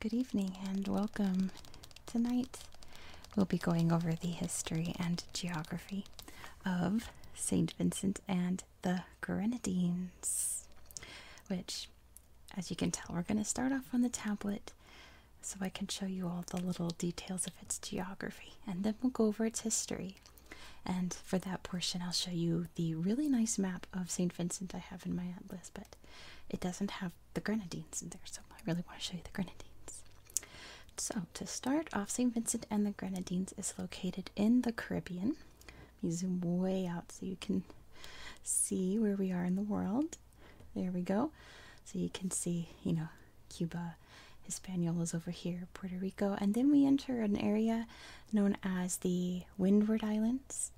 Good evening and welcome. Tonight we'll be going over the history and geography of St. Vincent and the Grenadines, which, as you can tell, we're going to start off on the tablet so I can show you all the little details its geography, and then we'll go over its history. And for that portion, I'll show you the really nice map of St. Vincent I have in my atlas, but it doesn't have the Grenadines in there, so I really want to show you the Grenadines. So, to start off, St. Vincent and the Grenadines is located in the Caribbean. zoom way out so you can see where we are in the world. There we go. So you can see, you know, Cuba, Hispaniola is over here, Puerto Rico, and then we enter an area known as the Windward Islands.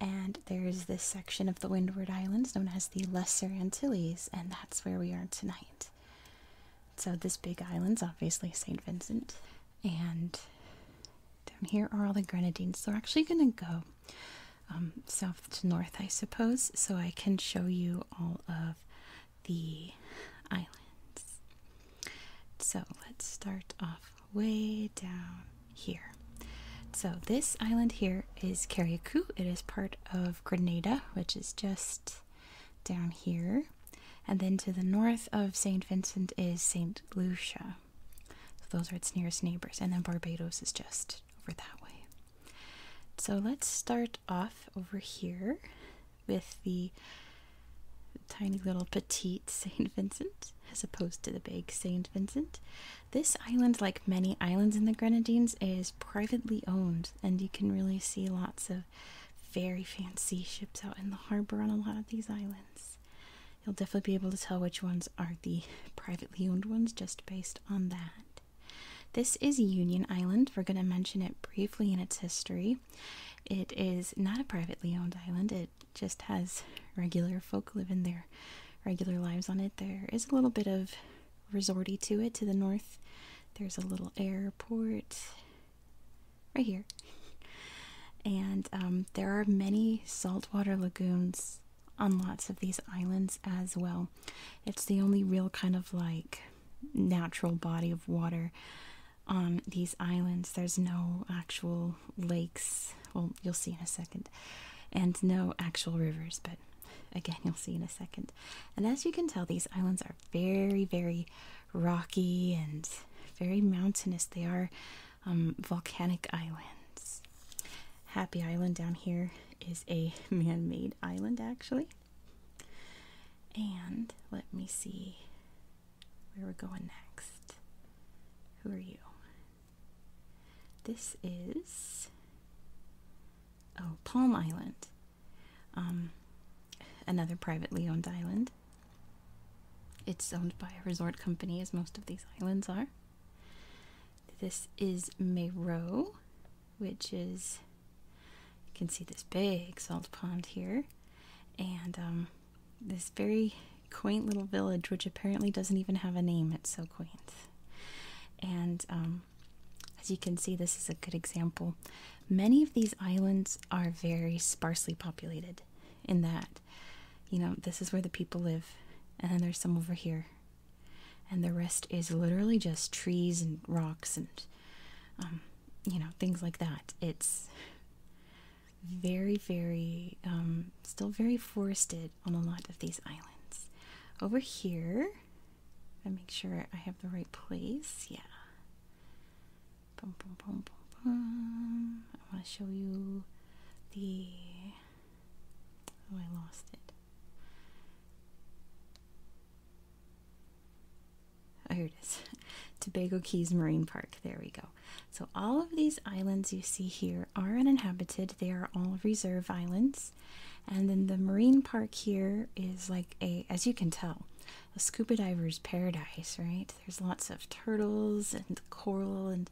And there is this section of the Windward Islands known as the Lesser Antilles, and that's where we are tonight. So, this big island's obviously St. Vincent, and down here are all the Grenadines. So, we're actually going to go um, south to north, I suppose, so I can show you all of the islands. So let's start off way down here. So this island here is Carriacou. It is part of Grenada, which is just down here. And then to the north of St. Vincent is St. Lucia. So those are its nearest neighbors. And then Barbados is just over that way. So let's start off over here with the tiny little petite St. Vincent as opposed to the big St. Vincent. This island, like many islands in the Grenadines, is privately owned, and you can really see lots of very fancy ships out in the harbor on a lot of these islands. You'll definitely be able to tell which ones are the privately owned ones just based on that. This is Union Island. We're going to mention it briefly in its history. It is not a privately owned island, it just has regular folk living their regular lives on it. There is a little bit of resorty to it to the north. There's a little airport right here. And um, there are many saltwater lagoons on lots of these islands as well. It's the only real kind of like natural body of water on these islands. There's no actual lakes. Well, you'll see in a second. And no actual rivers, but again, you'll see in a second. And as you can tell, these islands are very, very rocky and very mountainous. They are um, volcanic islands. Happy Island down here is a man made island, actually. And let me see where we're going next. Who are you? This is oh Palm Island, um, another privately owned island. It's owned by a resort company, as most of these islands are. This is Mayro, which is you can see this big salt pond here, and um, this very quaint little village, which apparently doesn't even have a name. It's so quaint, and um, as you can see, this is a good example. Many of these islands are very sparsely populated, in that you know this is where the people live, and then there's some over here, and the rest is literally just trees and rocks and um, you know things like that it's very very um, still very forested on a lot of these islands over here i make sure i have the right place yeah i want to show you the oh i lost it Oh, here it is. Tobago Keys Marine Park. There we go. So, all of these islands you see here are uninhabited. They are all reserve islands. And then the marine park here is like a, as you can tell, a scuba diver's paradise, right? There's lots of turtles and coral and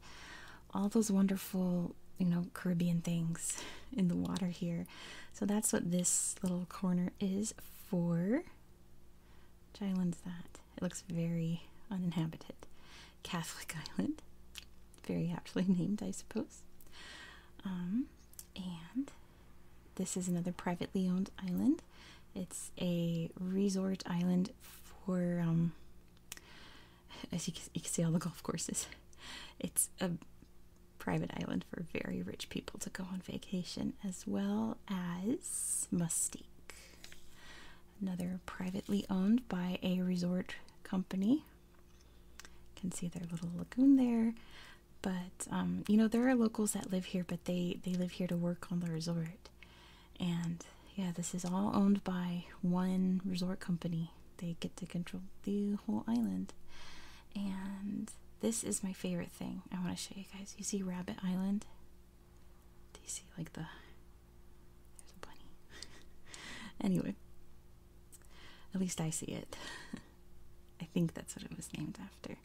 all those wonderful, you know, Caribbean things in the water here. So that's what this little corner is for. Which island's that? It looks very uninhabited. Catholic Island. Very aptly named, I suppose. Um, and this is another privately owned island. It's a resort island for, um, as you can see, all the golf courses. It's a private island for very rich people to go on vacation, as well as Mustique, another privately owned by a resort company. You can see their little lagoon there. But um, you know, there are locals that live here, but they they live here to work on the resort. And yeah, this is all owned by one resort company. They get to control the whole island. And this is my favorite thing. I want to show you guys. You see Rabbit Island? Do you see like the there's a bunny. anyway. At least I see it. I think that's what it was named after.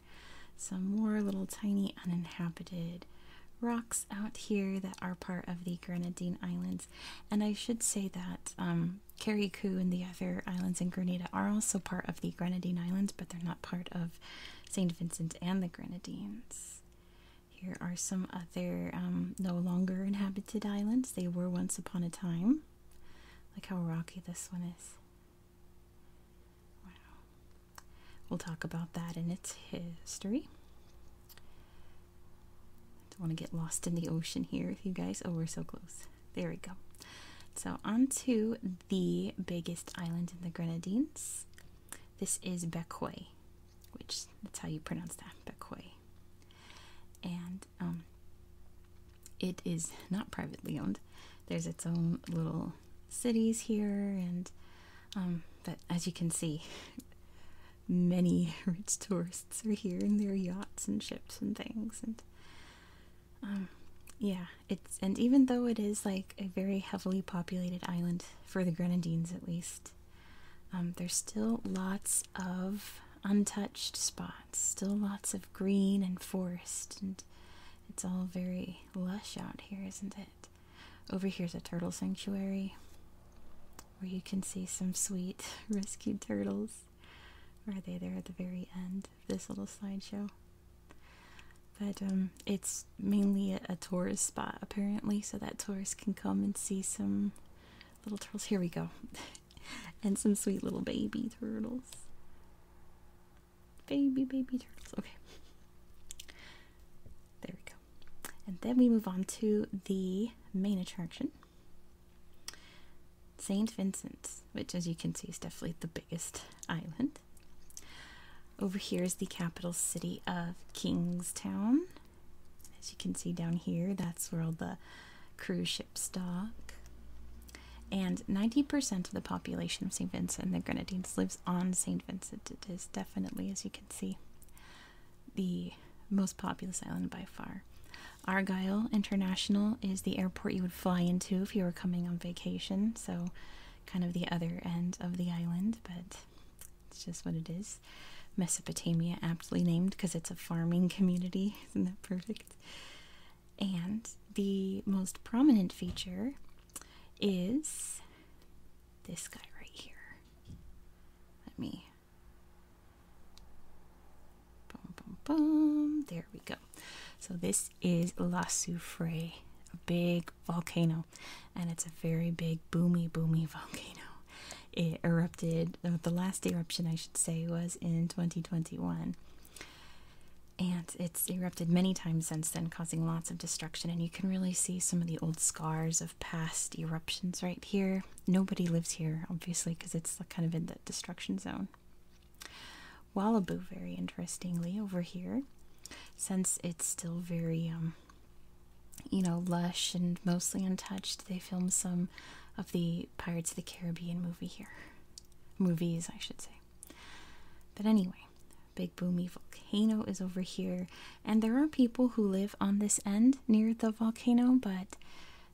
Some more little tiny uninhabited rocks out here that are part of the Grenadine Islands and I should say that um, and the other islands in Grenada are also part of the Grenadine Islands, but they're not part of St. Vincent and the Grenadines. Here are some other um, no longer inhabited islands. They were once upon a time. Look how rocky this one is. Wow. We'll talk about that and its history. I don't want to get lost in the ocean here if you guys. Oh, we're so close. There we go. So, on to the biggest island in the Grenadines. This is Bekoy, which that's how you pronounce that, Bekoy. And um, it is not privately owned. There's its own little cities here, and um, but as you can see, many rich tourists are here in their yachts and ships and things and um, yeah it's and even though it is like a very heavily populated island for the grenadines at least um, there's still lots of untouched spots still lots of green and forest and it's all very lush out here isn't it over here's a turtle sanctuary where you can see some sweet rescued turtles are they there at the very end of this little slideshow? But um, it's mainly a tourist spot apparently, so that tourists can come and see some little turtles. Here we go. and some sweet little baby turtles. Baby, baby turtles. Okay. There we go. And then we move on to the main attraction. St. Vincent's, which, as you can see, is definitely the biggest island. Over here is the capital city of Kingstown. As you can see down here, that's where all the cruise ships dock. And 90% of the population of St. Vincent and the Grenadines lives on St. Vincent. It is definitely, as you can see, the most populous island by far. Argyle International is the airport you would fly into if you were coming on vacation, so kind of the other end of the island, but it's just what it is. Mesopotamia, aptly named because it's a farming community. Isn't that perfect? And the most prominent feature is this guy right here. Let me Boom, boom, boom. There we go. So this is La Soufre, a big volcano, and it's a very big boomy, boomy volcano. It erupted. The last eruption, I should say, was in 2021. And it's erupted many times since then, causing lots of destruction. And you can really see some of the old scars of past eruptions right here. Nobody lives here, obviously, because it's kind of in the destruction zone. Wallaboo, very interestingly, over here, since it's still very, um, you know, lush and mostly untouched, they filmed some of the Pirates of the Caribbean movie here. Movies, I should say. But anyway, Big Boomy Volcano is over here, and there are people who live on this end near the volcano, but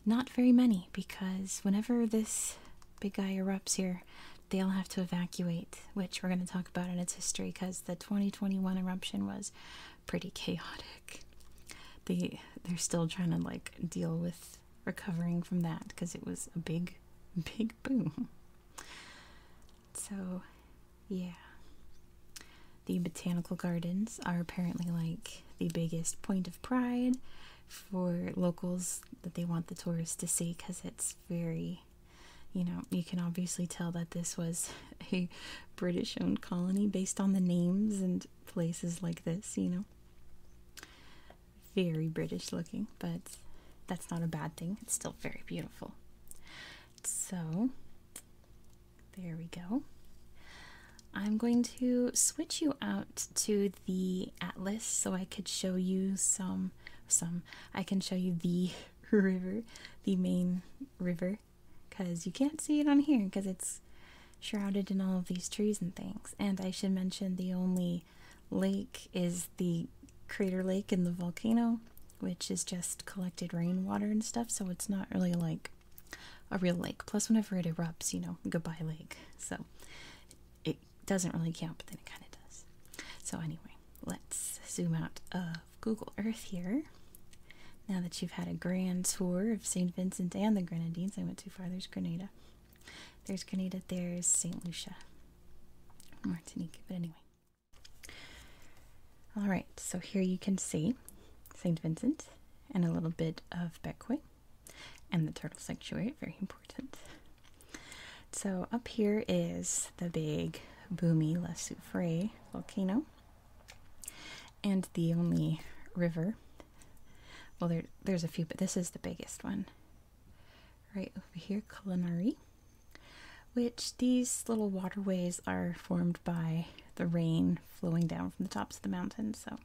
not very many, because whenever this big guy erupts here, they all have to evacuate, which we're going to talk about in its history because the 2021 eruption was pretty chaotic. They they're still trying to like deal with recovering from that because it was a big big boom. So, yeah. The botanical gardens are apparently like the biggest point of pride for locals that they want the tourists to see because it's very, you know, you can obviously tell that this was a British owned colony based on the names and places like this, you know. Very British looking, but that's not a bad thing. It's still very beautiful. So, there we go. I'm going to switch you out to the atlas so I could show you some some I can show you the river, the main river cuz you can't see it on here cuz it's shrouded in all of these trees and things. And I should mention the only lake is the crater lake in the volcano, which is just collected rainwater and stuff, so it's not really like a real lake. Plus, whenever it erupts, you know, goodbye lake. So it doesn't really count, but then it kind of does. So anyway, let's zoom out of Google Earth here. Now that you've had a grand tour of St. Vincent and the Grenadines, I went too far. There's Grenada. There's Grenada. There's St. Lucia. Martinique. But anyway. Alright, so here you can see St. Vincent and a little bit of Bekwe and the turtle sanctuary, very important. So up here is the big Bumi La volcano and the only river. Well, there, there's a few, but this is the biggest one. Right over here, Culinary, which these little waterways are formed by the rain flowing down from the tops of the mountains. So,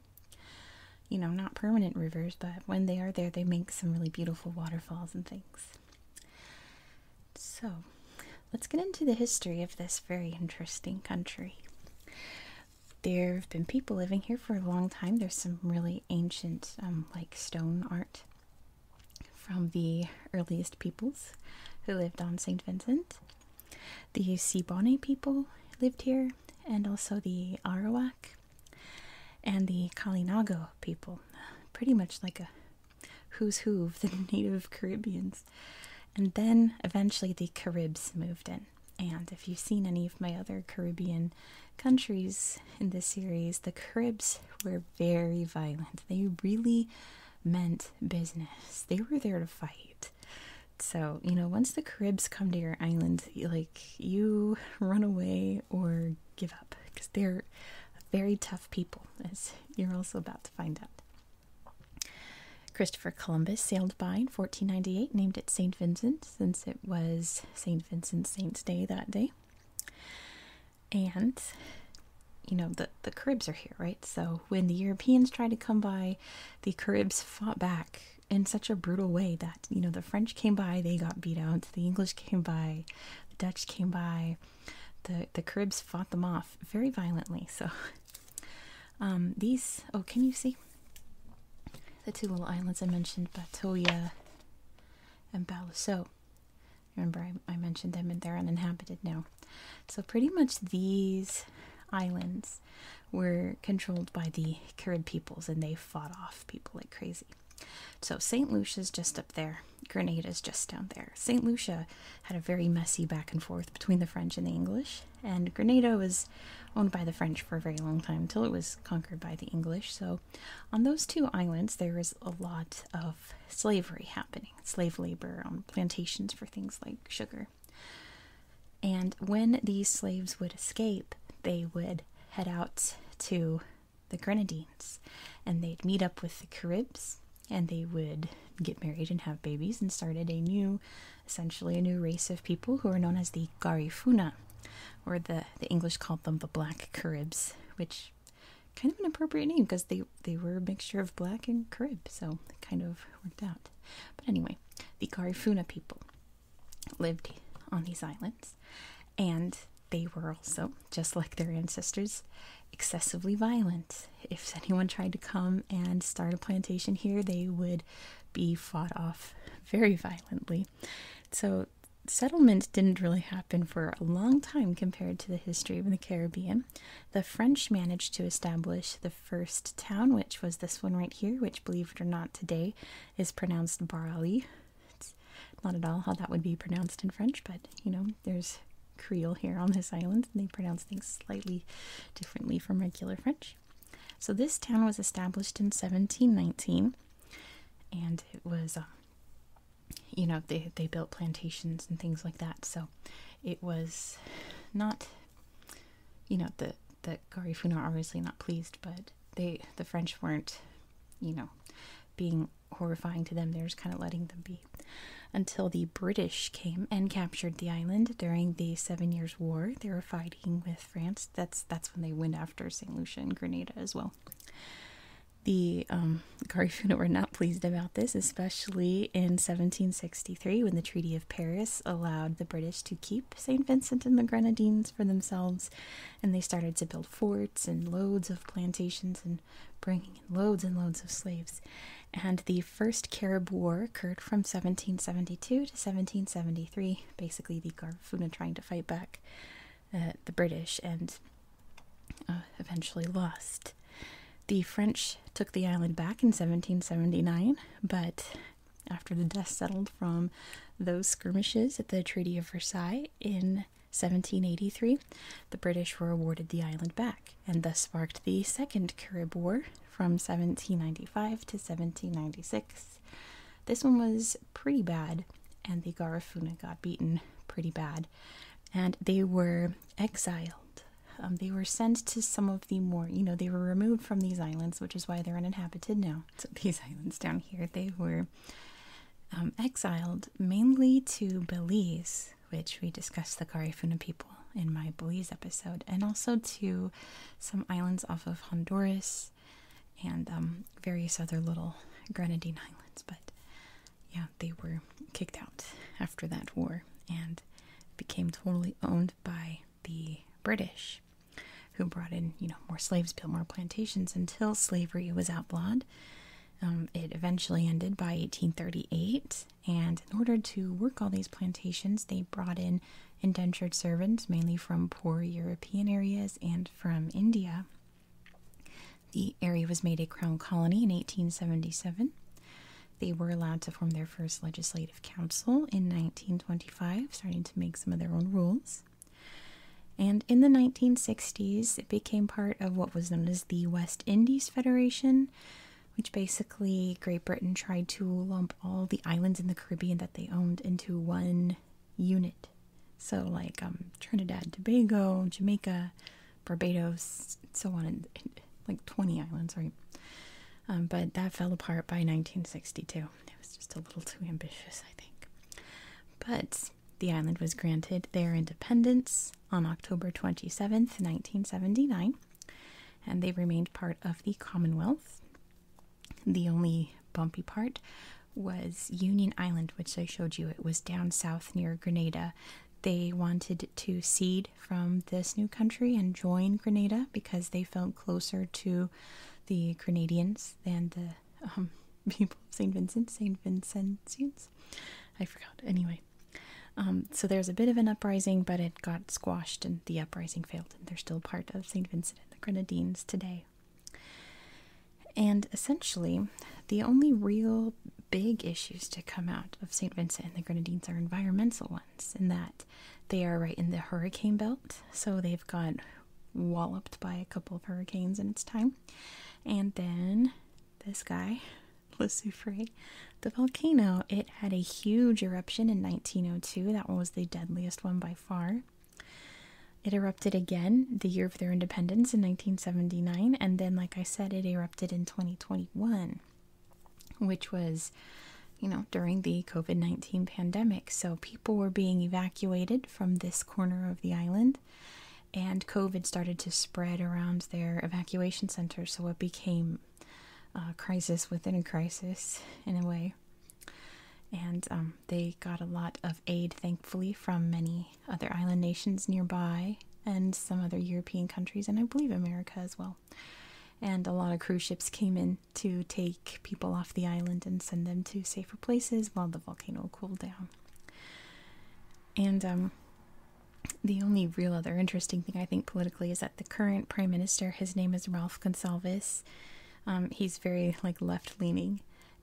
you know, not permanent rivers, but when they are there, they make some really beautiful waterfalls and things. So, let's get into the history of this very interesting country. There have been people living here for a long time. There's some really ancient, um, like stone art from the earliest peoples who lived on St. Vincent. The Siboney people lived here, and also the Arawak and the Calinago people. Pretty much like a who's who of the native Caribbeans. And then eventually the Caribs moved in. And if you've seen any of my other Caribbean countries in this series, the Caribs were very violent. They really meant business. They were there to fight. So, you know, once the Caribs come to your island, like you run away or give up because they're very tough people, as you're also about to find out. Christopher Columbus sailed by in 1498, named it St. Vincent, since it was St. Vincent's Saint's Day that day. And, you know, the, the Caribs are here, right? So when the Europeans try to come by the Caribs fought back in such a brutal way that, you know, the French came by, they got beat out, the English came by, the Dutch came by, the, the Caribs fought them off very violently. So, um, these, oh, can you see? The two little islands I mentioned, Batoya and Balaso. Remember, I mentioned them and they're uninhabited now. So, pretty much these islands were controlled by the Carib peoples and they fought off people like crazy. So, St. Lucia is just up there, Grenada is just down there. St. Lucia had a very messy back and forth between the French and the English, and Grenada was owned by the French for a very long time until it was conquered by the English. So, on those two islands, there was a lot of slavery happening slave labor on um, plantations for things like sugar. And when these slaves would escape, they would head out to the Grenadines and they'd meet up with the Caribs and they would get married and have babies and started a new, essentially a new race of people who are known as the Garifuna, or the, the English called them the Black Caribs, which kind of an appropriate name because they they were a mixture of black and Carib, so it kind of worked out. But anyway, the Garifuna people lived on these islands, and they were also, just like their ancestors, excessively violent. If anyone tried to come and start a plantation here, they would be fought off very violently. So settlement didn't really happen for a long time compared to the history of the Caribbean. The French managed to establish the first town, which was this one right here, which, believe it or not, today is pronounced Barali. It's not at all how that would be pronounced in French, but you know, there's Creole here on this island, and they pronounce things slightly differently from regular French. So, this town was established in 1719, and it was, um, you know, they, they built plantations and things like that. So, it was not, you know, the the Garifuna are obviously not pleased, but they the French weren't, you know, being horrifying to them. They were just kind of letting them be, until the British came and captured the island during the Seven Years' War. They were fighting with France. That's that's when they went after Saint Lucia and Grenada as well. The um, Garifuna were not pleased about this, especially in 1763 when the Treaty of Paris allowed the British to keep St. Vincent and the Grenadines for themselves, and they started to build forts and loads of plantations and bringing in loads and loads of slaves. And the first Carib War occurred from 1772 to 1773, basically the Garifuna trying to fight back uh, the British and uh, eventually lost. The French took the island back in 1779, but after the dust settled from those skirmishes at the Treaty of Versailles in 1783, the British were awarded the island back, and thus sparked the Second Carib War from 1795 to 1796. This one was pretty bad, and the Garifuna got beaten pretty bad, and they were exiled um, they were sent to some of the more, you know, they were removed from these islands, which is why they're uninhabited now. So these islands down here, they were um, exiled mainly to Belize, which we discussed the Garifuna people in my Belize episode, and also to some islands off of Honduras and um, various other little Grenadine islands. But yeah, they were kicked out after that war and became totally owned by the British, who brought in, you know, more slaves, built more plantations until slavery was outlawed. Um, it eventually ended by 1838, and in order to work all these plantations, they brought in indentured servants, mainly from poor European areas and from India. The area was made a crown colony in 1877. They were allowed to form their first legislative council in 1925, starting to make some of their own rules. And in the 1960s, it became part of what was known as the West Indies Federation, which basically Great Britain tried to lump all the islands in the Caribbean that they owned into one unit. So, like um, Trinidad, Tobago, Jamaica, Barbados, so on, and like 20 islands, right? Um, but that fell apart by 1962. It was just a little too ambitious, I think. But the island was granted their independence on October 27th, 1979, and they remained part of the Commonwealth. The only bumpy part was Union Island, which I showed you. It was down south near Grenada. They wanted to cede from this new country and join Grenada because they felt closer to the Grenadians than the um, people of St. Vincent, St. Vincentians. I forgot. Anyway, um, so there's a bit of an uprising, but it got squashed and the uprising failed, and they're still part of St. Vincent and the Grenadines today. And essentially, the only real big issues to come out of St. Vincent and the Grenadines are environmental ones, in that they are right in the hurricane belt, so they've got walloped by a couple of hurricanes in its time. And then this guy, Le the volcano, it had a huge eruption in 1902. That one was the deadliest one by far. It erupted again the year of their independence in 1979, and then, like I said, it erupted in 2020. 2021, which was, you know, during the COVID 19 pandemic. So people were being evacuated from this corner of the island, and COVID started to spread around their evacuation center. So it became a crisis within a crisis, in a way. And um, they got a lot of aid, thankfully, from many other island nations nearby and some other European countries, and I believe America as well. And a lot of cruise ships came in to take people off the island and send them to safer places while the volcano cooled down. And um, the only real other interesting thing I think politically is that the current prime minister, his name is Ralph Gonsalves. Um, he's very like left leaning,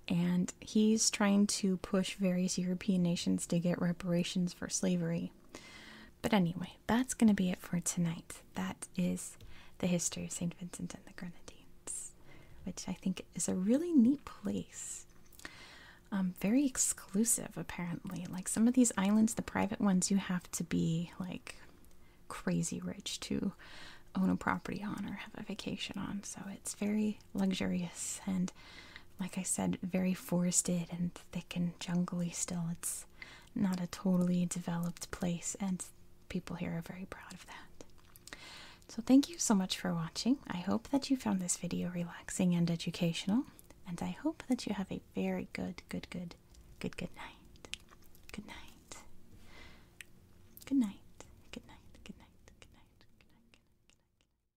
and he's trying to push various European nations to get reparations for slavery. But anyway, that's going to be it for tonight. That is the history of St. Vincent and the Grenadines, which I think is a really neat place. Um, very exclusive, apparently. Like some of these islands, the private ones, you have to be like crazy rich to own a property on or have a vacation on. So it's very very luxurious and, like I said, very forested and thick and jungly still. It's not a totally developed place, and people here are very proud of that. So, thank you so much for watching. I hope that you found this video relaxing and educational, and I hope that you have a very good, good, good, good, good night. Good night. Good night. Good night. Good night. Good night. Good night. Good night. Good night.